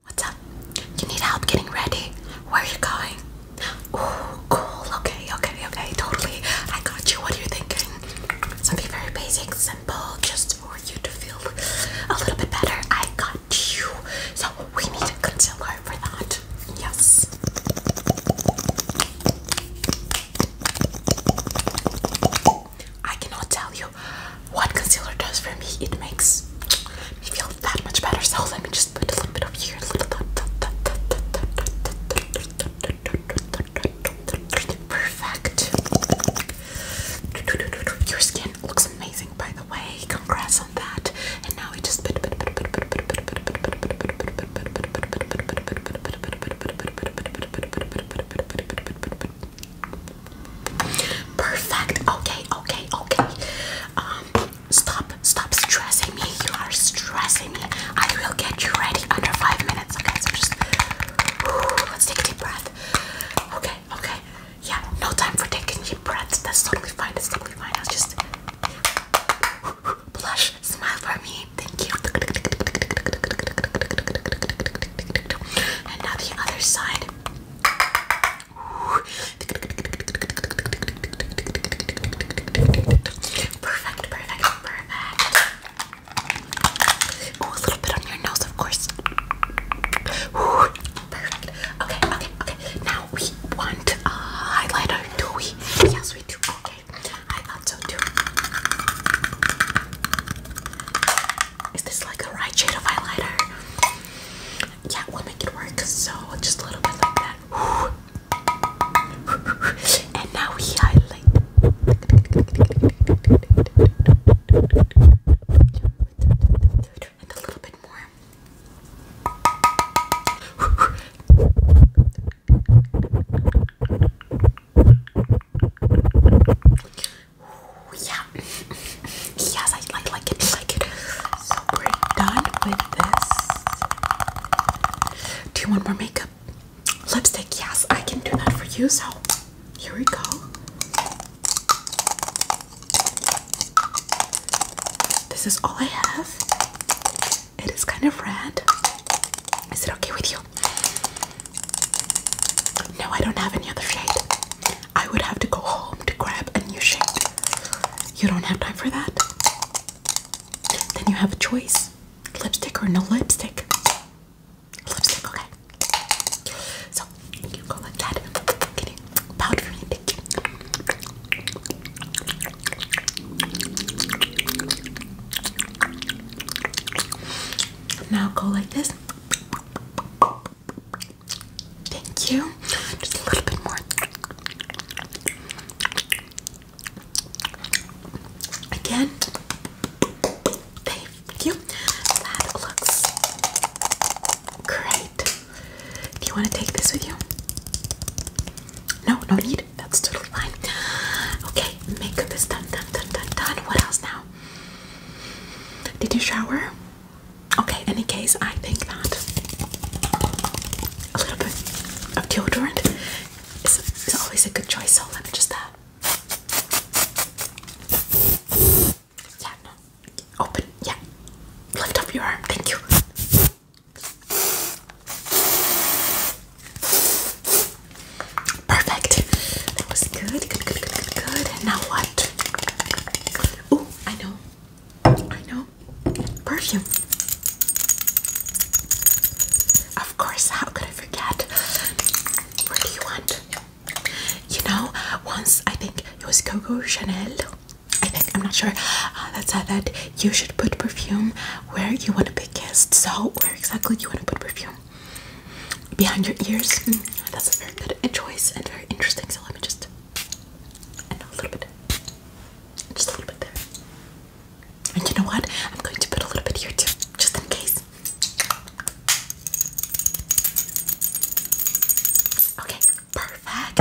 What's up? You need help getting ready? Where are you going? Oh, cool. Okay, okay, okay. Totally. I got you. What are you thinking? Something very basic, simple, just for you to feel a little bit better. I got you. So we need a concealer for that. Yes. I cannot tell you what concealer does for me. It makes me feel that much better. So let me just put a little bit of here, Perfect. Your skin looks amazing, by the way. Congrats on that. And now we just put. Perfect. Okay, okay, okay. Um, stop, stop stressing me. You are stressing me. I will get you ready under five minutes. Okay, so just let's take a deep breath. Okay, okay. Yeah, no time for taking deep breaths. That's totally fine. That's totally fine. I'll just blush, smile for me. Thank you. And now the other side. Perfect, perfect, perfect. Oh, a little bit on your nose, of course. Perfect. Okay, okay, okay. Now we want a highlighter, do we? Yes, we do. Okay, I thought so too. Is this like the right shade of highlighter? Yeah, we'll make it work. So just a little bit like that. And now we highlight and a little bit more yeah. yes, I like like it, like it. So we're done with this. Do you want more makeup? Lipstick, yes, I can do that for you. So here we go. This is all I have. It is kind of red. Is it okay with you? No, I don't have any other shade. I would have to go home to grab a new shade. You don't have time for that? Then you have a choice lipstick or no lipstick. Lipstick, okay. So you go like that. Can you now go like this. Thank you. Just a little bit more. Again. Thank you. That looks great. Do you want to take this with you? No, no need. That's totally fine. Okay, makeup is done, done, done, done, What else now? Did you shower? Okay, in any case, I think that a little bit of deodorant is, always a good choice. So let me just that. Uh, yeah, no. Open. Yeah. Lift up your arm. Thank you. Perfect. That was good. Good, good, now what? Oh, I know. I know. Perfume. Of course, how could I forget? What do you want? You know, once I think it was Coco Chanel I think I'm not sure uh, that said that you should put perfume where you want to be kissed. So where exactly you want to put perfume? Behind your ears. Hmm, that's a very good choice and very interesting. So let me just a little bit, just a little bit there. And you know what? I'm going to put a little bit here too, just in case. Okay, Perfect.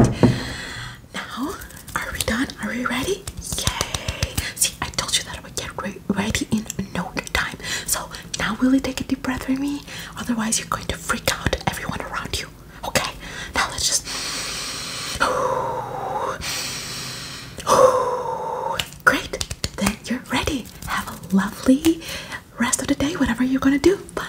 Now, are we done? Are we ready? Yay! See, I told you that I would get ready in no time. So now, will you take a deep breath for me? Otherwise, you're going to freak out everyone around you. Okay. Now let's just. Great. Then you're ready. Have a lovely rest of the day. Whatever you're gonna do. Bye.